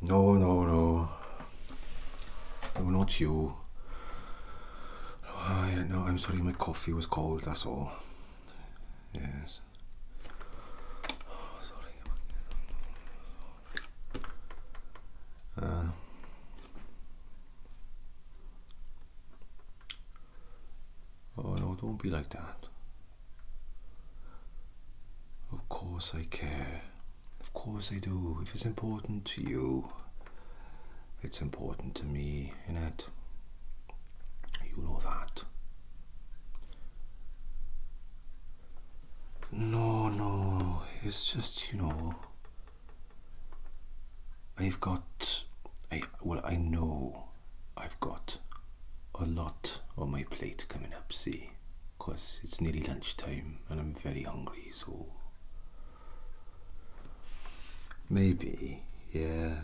No, no, no. No, not you. Oh, yeah, no, I'm sorry, my coffee was cold, that's all. Yes. oh, uh. oh no, don't be like that. Of course I care. Of course I do. If it's important to you, it's important to me, innit? You know that. No, no, it's just, you know, I've got, I, well, I know I've got a lot on my plate coming up, see? because it's nearly lunchtime and I'm very hungry, so. Maybe, yeah.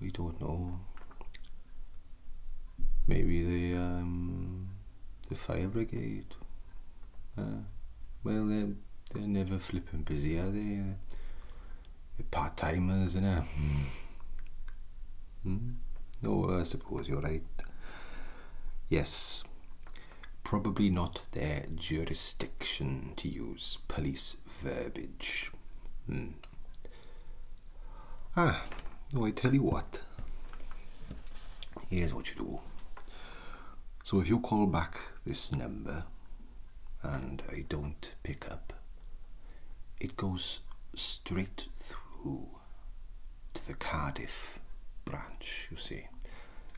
We don't know. Maybe the um, the fire brigade. Uh, well, they're, they're never flipping busy, are they? Uh, they're part timers, innit? Mm. Mm. No, I suppose you're right. Yes, probably not their jurisdiction to use police verbiage. Hmm. Ah, no, I tell you what. Here's what you do. So if you call back this number and I don't pick up, it goes straight through to the Cardiff branch, you see,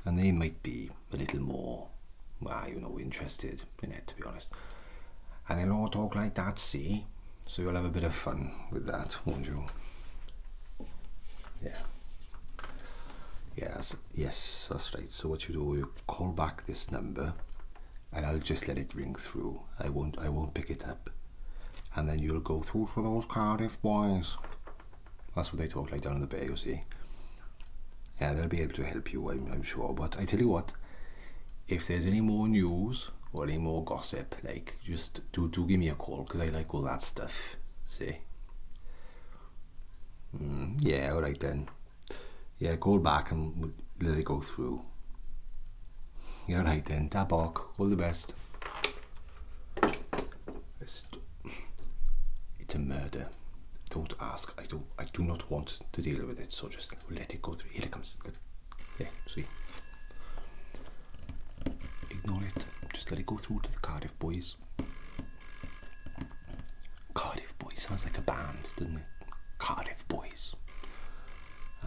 and they might be a little more, well, you know, interested in it, to be honest. And they'll all talk like that, see? So you'll have a bit of fun with that, won't you? Yeah. Yes, yes, that's right. So what you do, you call back this number, and I'll just let it ring through. I won't, I won't pick it up and then you'll go through for those Cardiff boys. That's what they talk like down in the bay, you see. Yeah, they'll be able to help you, I'm, sure. But I tell you what, if there's any more news or any more gossip, like, just do, do give me a call because I like all that stuff. See? Mm, yeah, alright then. Yeah, Go back and we let it go through. You're right then. Tabok. All the best. It's a murder. Don't ask. I do. I do not want to deal with it. So just let it go through. Here it comes. Yeah. See. Ignore it. Just let it go through to the Cardiff Boys. Cardiff Boys sounds like a band, doesn't it? Cardiff Boys. Uh,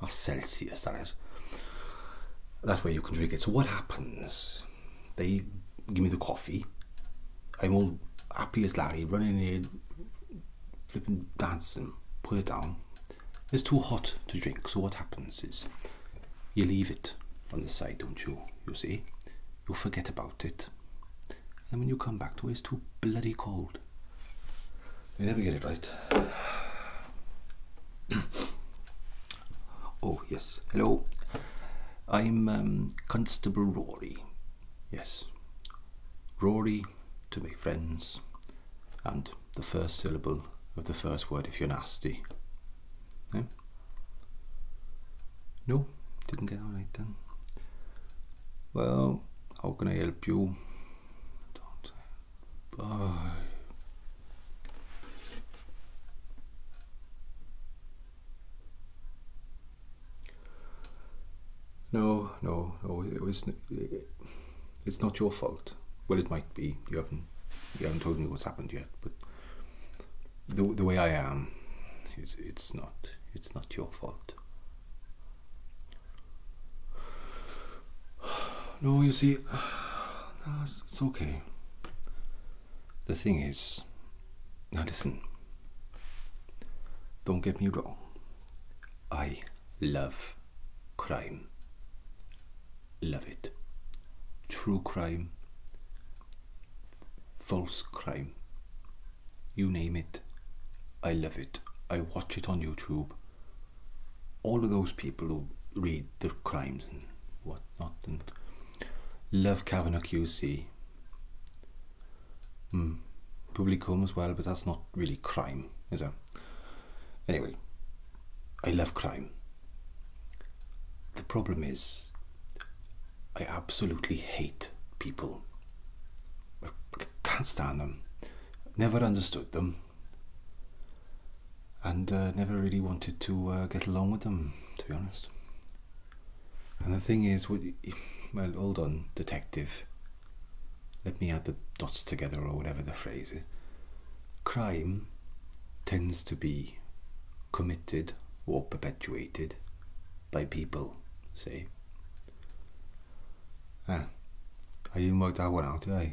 or oh, Celsius, that is. That way you can drink it. So what happens? They give me the coffee. I'm all happy as Larry, running here, flipping, dancing, put it down. It's too hot to drink, so what happens is you leave it on the side, don't you? You see? You forget about it. And when you come back to it, it's too bloody cold old. You never get it right. oh, yes. Hello. I'm um, Constable Rory. Yes. Rory to my friends. And the first syllable of the first word if you're nasty. Eh? No, didn't get it right then. Well, how can I help you? don't I? No, no, no. It was. It's not your fault. Well, it might be. You haven't. You haven't told me what's happened yet. But the the way I am, it's it's not. It's not your fault. No, you see, it's okay. The thing is, now listen, don't get me wrong. I love crime. Love it. True crime, false crime, you name it. I love it. I watch it on YouTube all of those people who read the crimes and whatnot and love Kavanaugh QC. Hmm. Public Home as well, but that's not really crime, is it? Anyway, I love crime. The problem is, I absolutely hate people. I can't stand them. Never understood them and uh, never really wanted to uh, get along with them, to be honest. And the thing is, well, hold on, detective. Let me add the dots together, or whatever the phrase is. Crime tends to be committed or perpetuated by people, say. Ah, I even worked that one out, did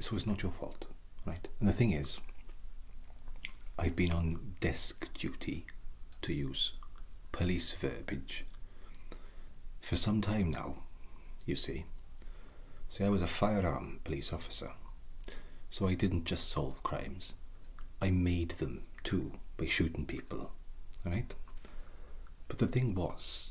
so it's not your fault, right? And the thing is, I've been on desk duty, to use police verbiage, for some time now, you see. See, I was a firearm police officer, so I didn't just solve crimes, I made them too by shooting people, right? But the thing was,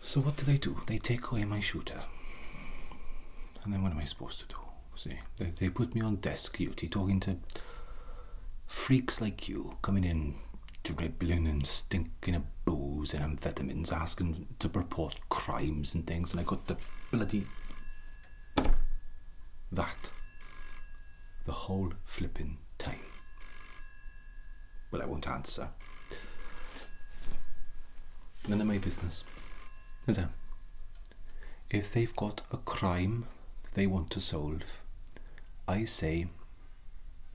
So what do they do? They take away my shooter. And then what am I supposed to do? See, they, they put me on desk duty talking to freaks like you, coming in dribbling and stinking of booze and amphetamines, asking to report crimes and things, and I got the bloody. that. the whole flipping time. Well, I won't answer. None of my business. Is that? If they've got a crime they want to solve, I say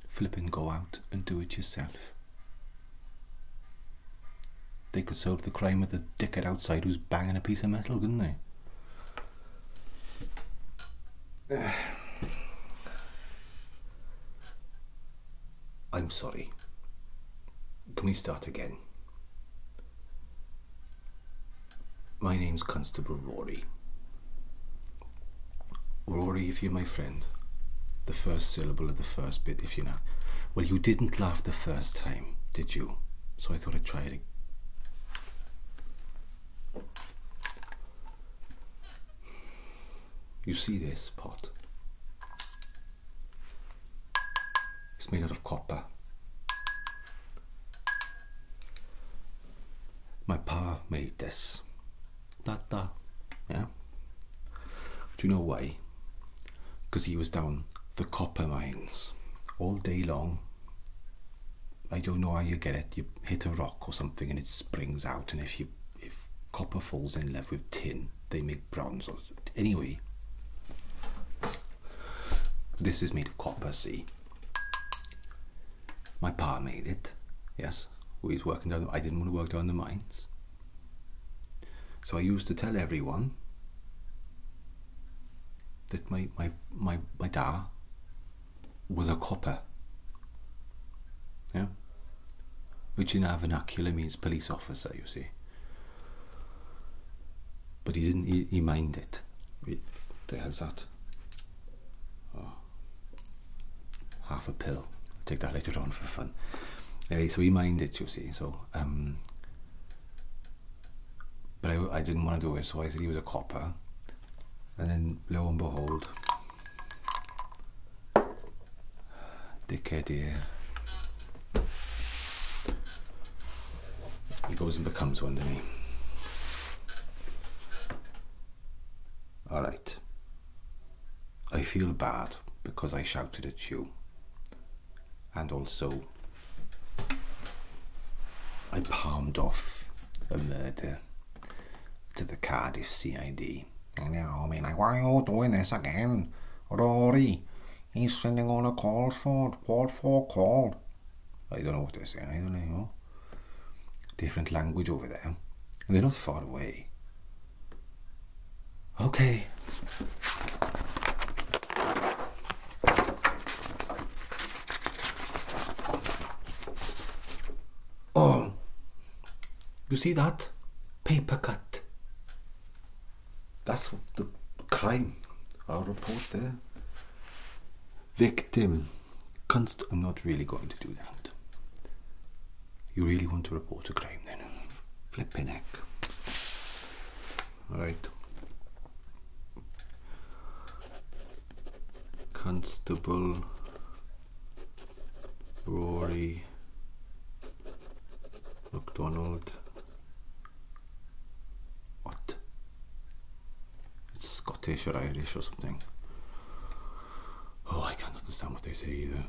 flip and go out and do it yourself. They could solve the crime with a dickhead outside who's banging a piece of metal, couldn't they? I'm sorry. Can we start again? My name's Constable Rory. Rory, if you're my friend, the first syllable of the first bit, if you know. Well, you didn't laugh the first time, did you? So I thought I'd try it again. You see this pot? It's made out of copper. My pa made this. Da da. Yeah. Do you know why? Because he was down the copper mines all day long. I don't know how you get it. You hit a rock or something and it springs out, and if you if copper falls in love with tin, they make bronze. Anyway, this is made of copper, see. My pa made it, yes. We was working down, I didn't want to work down the mines. So I used to tell everyone that my, my, my, my dad was a copper. Yeah? which in our vernacular means police officer, you see. But he didn't, he, he mined it. What the that? Oh. Half a pill. I'll take that later on for fun. Anyway, so he minded, you see. So, um, but I, I didn't want to do it, so I said he was a copper. And then lo and behold, Dickhead here. He goes and becomes one, of me. Alright. I feel bad because I shouted at you. And also, I palmed off a murder to the Cardiff CID. Rory. I know, I mean, why are you doing this again? Rory, he's sending on a call for, call for call. I don't know what they're saying, I don't know. Different language over there. they're not far away. Okay. Oh, you see that? Paper cut. That's the crime, our report there. Victim. Const I'm not really going to do that. You really want to report a crime then? Flipping heck. Alright. Constable Rory McDonald. What? It's Scottish or Irish or something. Oh, I can't understand what they say either.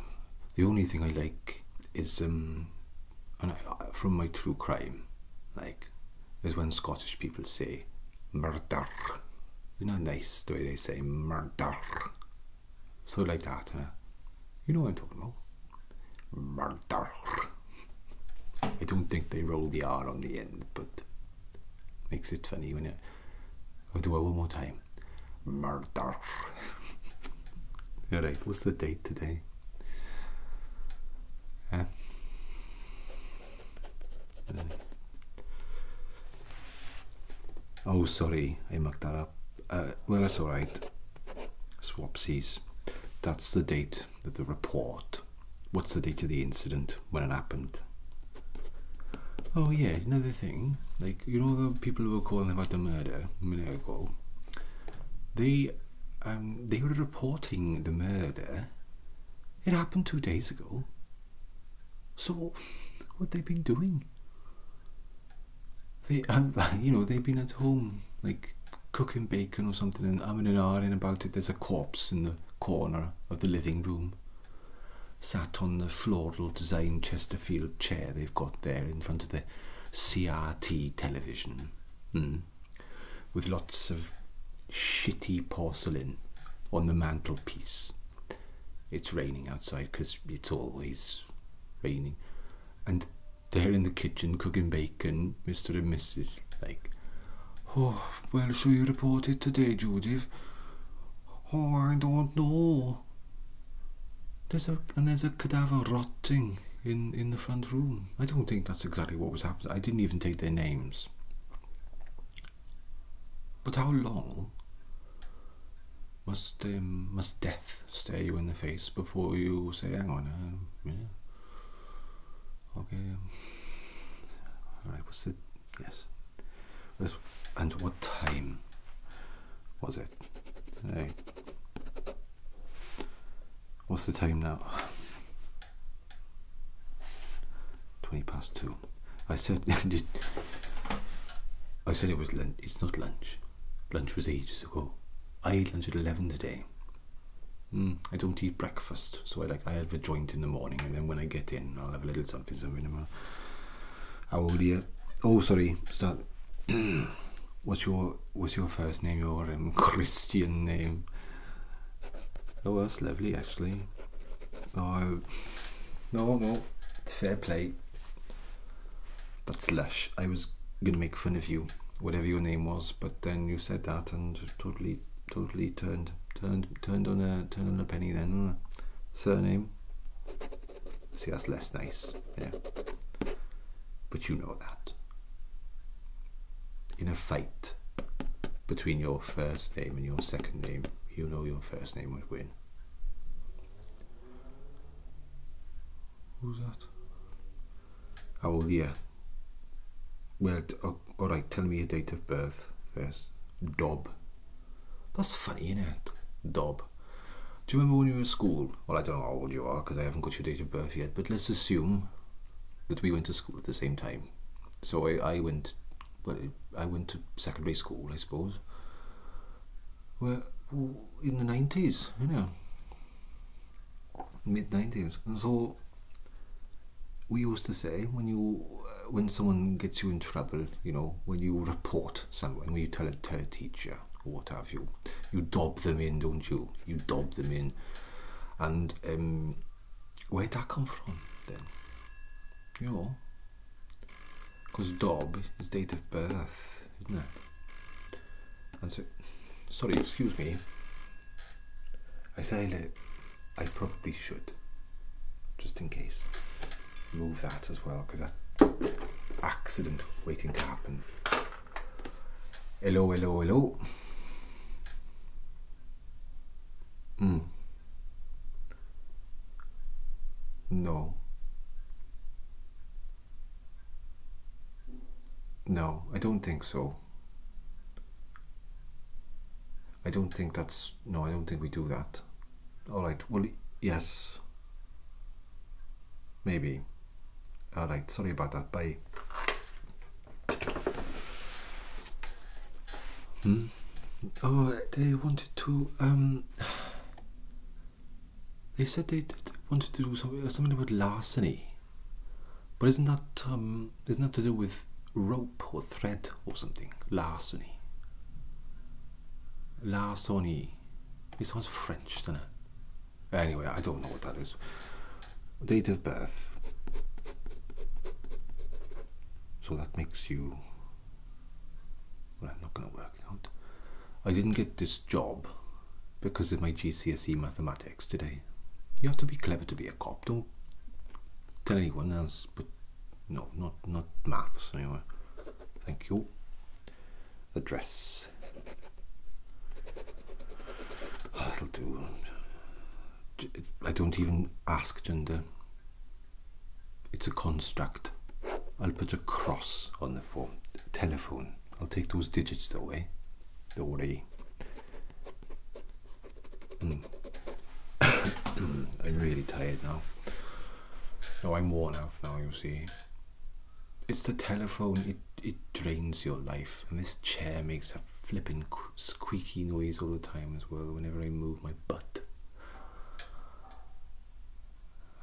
The only thing I like is um, from my true crime, like, is when Scottish people say murder. you know, nice the way they say murder. So like that, You know what I'm talking about. Murder. I don't think they roll the R on the end, but makes it funny when i do it one more time. Murder. Alright, what's the date today? Uh, uh, oh, sorry, I mucked that up. Uh, well, that's alright. Swapsies. That's the date of the report. What's the date of the incident when it happened? Oh yeah, another thing. Like you know the people who were calling about the murder a ago. They um they were reporting the murder. It happened two days ago. So what they been doing? They, you know, they've been at home, like cooking bacon or something, and I'm in an hour in about it. There's a corpse in the corner of the living room, sat on the floral design Chesterfield chair they've got there in front of the CRT television, hmm, with lots of shitty porcelain on the mantelpiece. It's raining outside because it's always raining and they're in the kitchen cooking bacon, Mr. and Mrs. Like, oh, well, shall you report it today, Judith? Oh, I don't know. There's a and there's a cadaver rotting in in the front room. I don't think that's exactly what was happening. I didn't even take their names. But how long must uh, must death stare you in the face before you say, "Hang on a minute"? Okay. Um, all right. What's it? Yes. And what time was it? What's the time now? 20 past 2. I said I said it was lunch. It's not lunch. Lunch was ages ago. I ate lunch at 11 today. Hmm, I don't eat breakfast, so I like I have a joint in the morning, and then when I get in, I'll have a little something, something. How old are you? Oh, sorry. Start. what's your What's your first name? Your um, Christian name? Oh, that's lovely, actually. Oh, no, no. It's fair play. That's lush. I was gonna make fun of you, whatever your name was, but then you said that and totally, totally turned, turned, turned on a turned on a penny. Then surname. See, that's less nice. Yeah, but you know that. In a fight between your first name and your second name, you know your first name would win. Who's that? Oh, well, yeah. Well, oh, all right, tell me your date of birth first. Dob. That's funny, innit? Dob. Do you remember when you were at school? Well, I don't know how old you are because I haven't got your date of birth yet, but let's assume that we went to school at the same time. So I, I went, well, I went to secondary school, I suppose were in the 90s, you know, mid 90s. And so we used to say when you uh, when someone gets you in trouble, you know, when you report someone, when you tell a, tell teacher or what have you, you dob them in, don't you? You dob them in. And um, where'd that come from then? You know, because dob is date of birth isn't it? And so, sorry, excuse me. I say that I probably should, just in case, move that as well because that accident waiting to happen. Hello, hello, hello. Mm. No. No, I don't think so. I don't think that's... No, I don't think we do that. Alright, well, yes. Maybe. Alright, sorry about that. Bye. Hmm? Oh, they wanted to... Um... They said they, wanted to do something, something about larceny, but isn't that um, not that to do with rope or thread or something? Larceny. Larceny. It sounds French, doesn't it? Anyway, I don't know what that is. Date of birth. So that makes you. Well, I'm not going to work it out. I didn't get this job because of my GCSE mathematics today. You have to be clever to be a cop. Don't tell anyone else, but no, not not maths anyway. Thank you. Address. I don't even ask gender. It's a construct. I'll put a cross on the form. Telephone. I'll take those digits away. eh? Don't worry. Hmm. I'm really tired now. No, I'm worn out now, you see. It's the telephone, it, it drains your life. And this chair makes a flipping squeaky noise all the time as well, whenever I move my butt.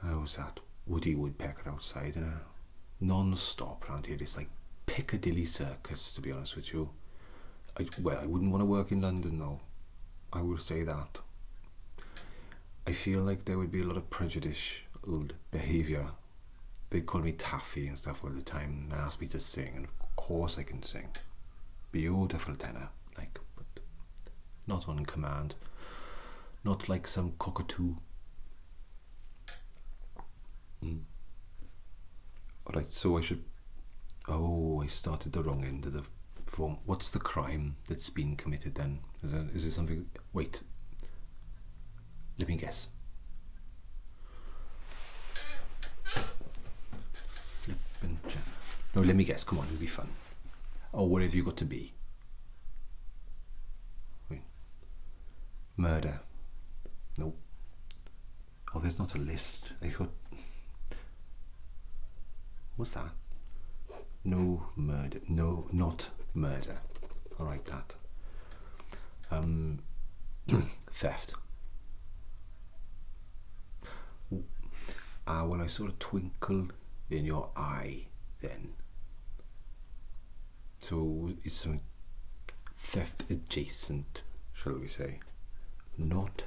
I was at Woody Woodpecker outside and a non-stop around here. It's like Piccadilly Circus, to be honest with you. I, well, I wouldn't want to work in London though. I will say that. I feel like there would be a lot of prejudicial behaviour. They call me taffy and stuff all the time and ask me to sing, and of course I can sing. Beautiful tenor, like, not on command. Not like some cockatoo. Mm. Alright, so I should. Oh, I started the wrong end of the form. What's the crime that's been committed then? Is, that, is it something. Wait. Let me guess. No, let me guess. Come on, it'll be fun. Oh, what have you got to be? Murder. No. Oh, there's not a list. I thought. What's that? No murder. No, not murder. All right, that. Um, theft. Ah, when I saw a twinkle in your eye then. So it's a theft adjacent, shall we say. Not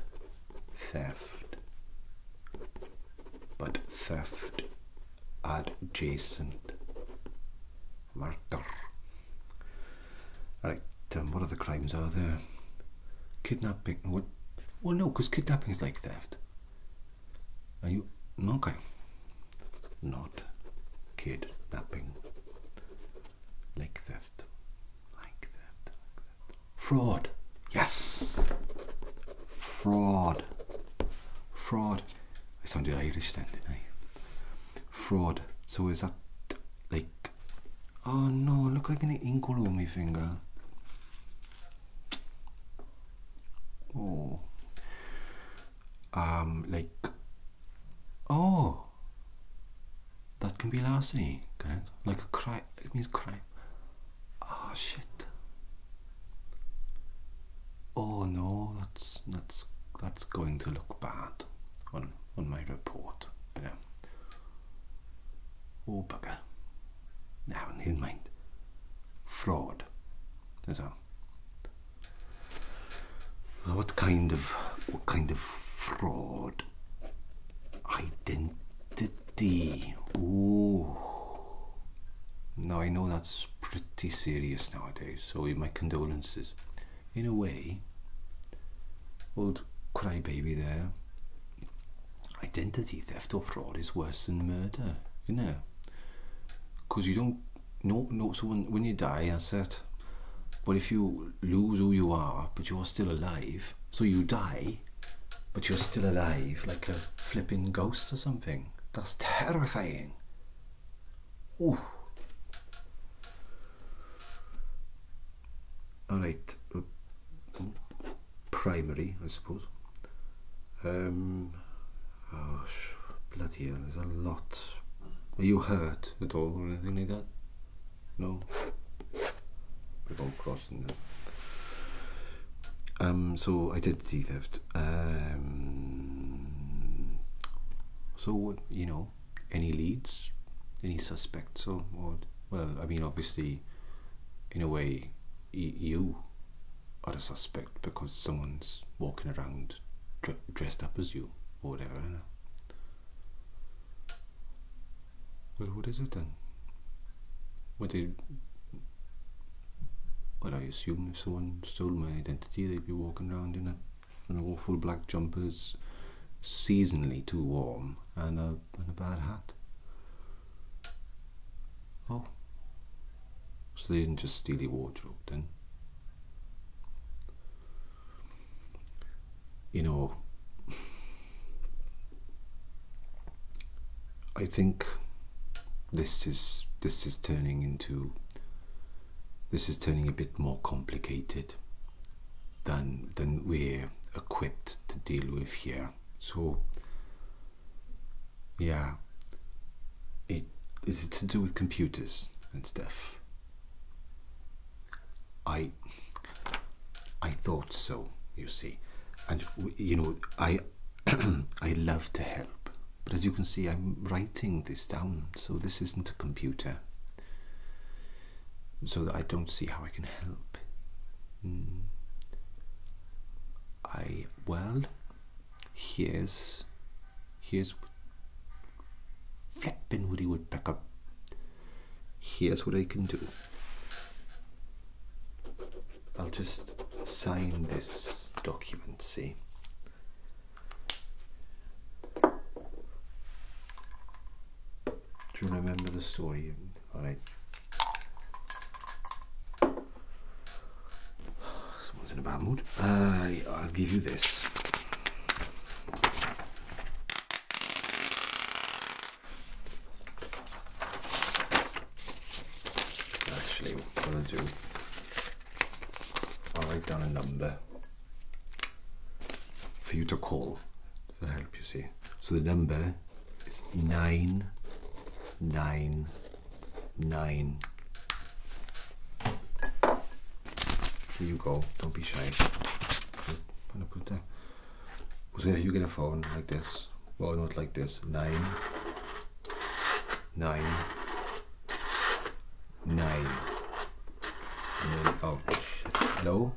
theft, but theft adjacent. Murder. Right, um, what other crimes are there? Kidnapping. What? Well, no, because kidnapping is like theft. Are you okay? Not kidnapping. Like theft. Like theft. Like theft. Fraud. Yes. Fraud. Fraud. I sounded Irish then, didn't I? Fraud. So is that like? Oh no! Look like an ink on my finger. Oh um, like oh that can be larceny correct like a crime it means crime ah oh, shit oh no that's that's that's going to look bad on on my report yeah oh bugger now never mind fraud there's a what kind of what kind of fraud? Identity. Ooh. Now I know that's pretty serious nowadays, so my condolences. In a way, old crybaby there. Identity theft or fraud is worse than murder, you know, because you don't no, no. So when, you die, I said, But if you lose who you are, but you're still alive, so you die, but you're still alive, like a flipping ghost or something. That's terrifying. Oh. All right. Uh, primary, I suppose. Um, Oh, sh- bloody hell, there's a lot. Were you hurt at all or anything like that? No? We're all crossing now. Um, so identity theft. Um, so what you know? Any leads? Any suspects or, what? well, I mean, obviously, in a way, you other suspect because someone's walking around dressed up as you or whatever. Well, what is it then? What they well, I assume if someone stole my identity, they'd be walking around in a an awful black jumper, seasonally too warm and a and a bad hat. Oh. So they didn't just steal your wardrobe then? You know, I think this is this is turning into this is turning a bit more complicated than than we're equipped to deal with here. So yeah, it is it to do with computers and stuff? I I thought so, you see, and you know I I love to help, but as you can see, I'm writing this down, so this isn't a computer, so I don't see how I can help. Hmm. I well, Here's here's flipping Woody Woodpecker. Here's what I can do. I'll just sign this document, see? Do you remember the story? Alright. Someone's in a bad mood. Uh, I'll give you this. Actually, what i to do, I'll write down a number for you to call to help you see. So the number is nine nine nine. Here you go. Don't be shy. I'm gonna put that. Because if you get a phone like this, well, not like this. Nine, nine, nine. Then, oh Hello.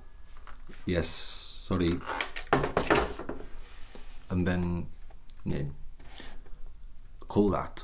Yes. Sorry. And then name. Call that.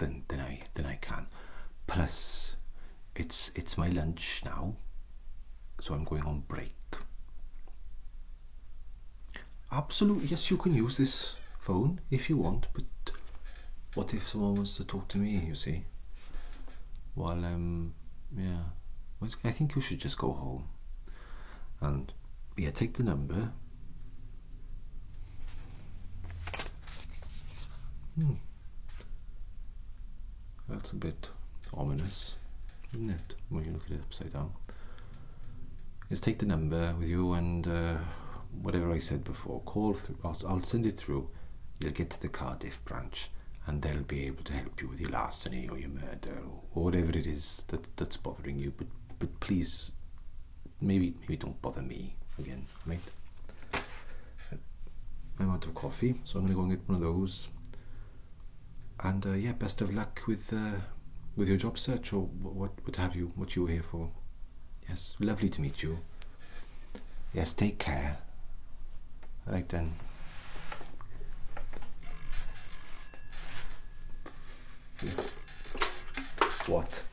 now than I than I can. Plus, it's it's my lunch now, so I'm going on break. Absolutely, yes, you can use this phone if you want, but what if someone wants to talk to me? You see, while um, yeah, I think you should just go home, and yeah, take the number Hmm. That's a bit ominous, isn't it, when you look at it upside down? Just take the number with you and uh, whatever I said before, call through, I'll, send it through. You'll get to the Cardiff branch and they'll be able to help you with your larceny or your murder or, whatever it is that's bothering you. But, but please maybe maybe don't bother me again. mate. I'm out of coffee, so I'm gonna go and get one of those. And uh, yeah, best of luck with uh, with your job search or what what have you, what you were here for. Yes, lovely to meet you. Yes, take care. Right then. What?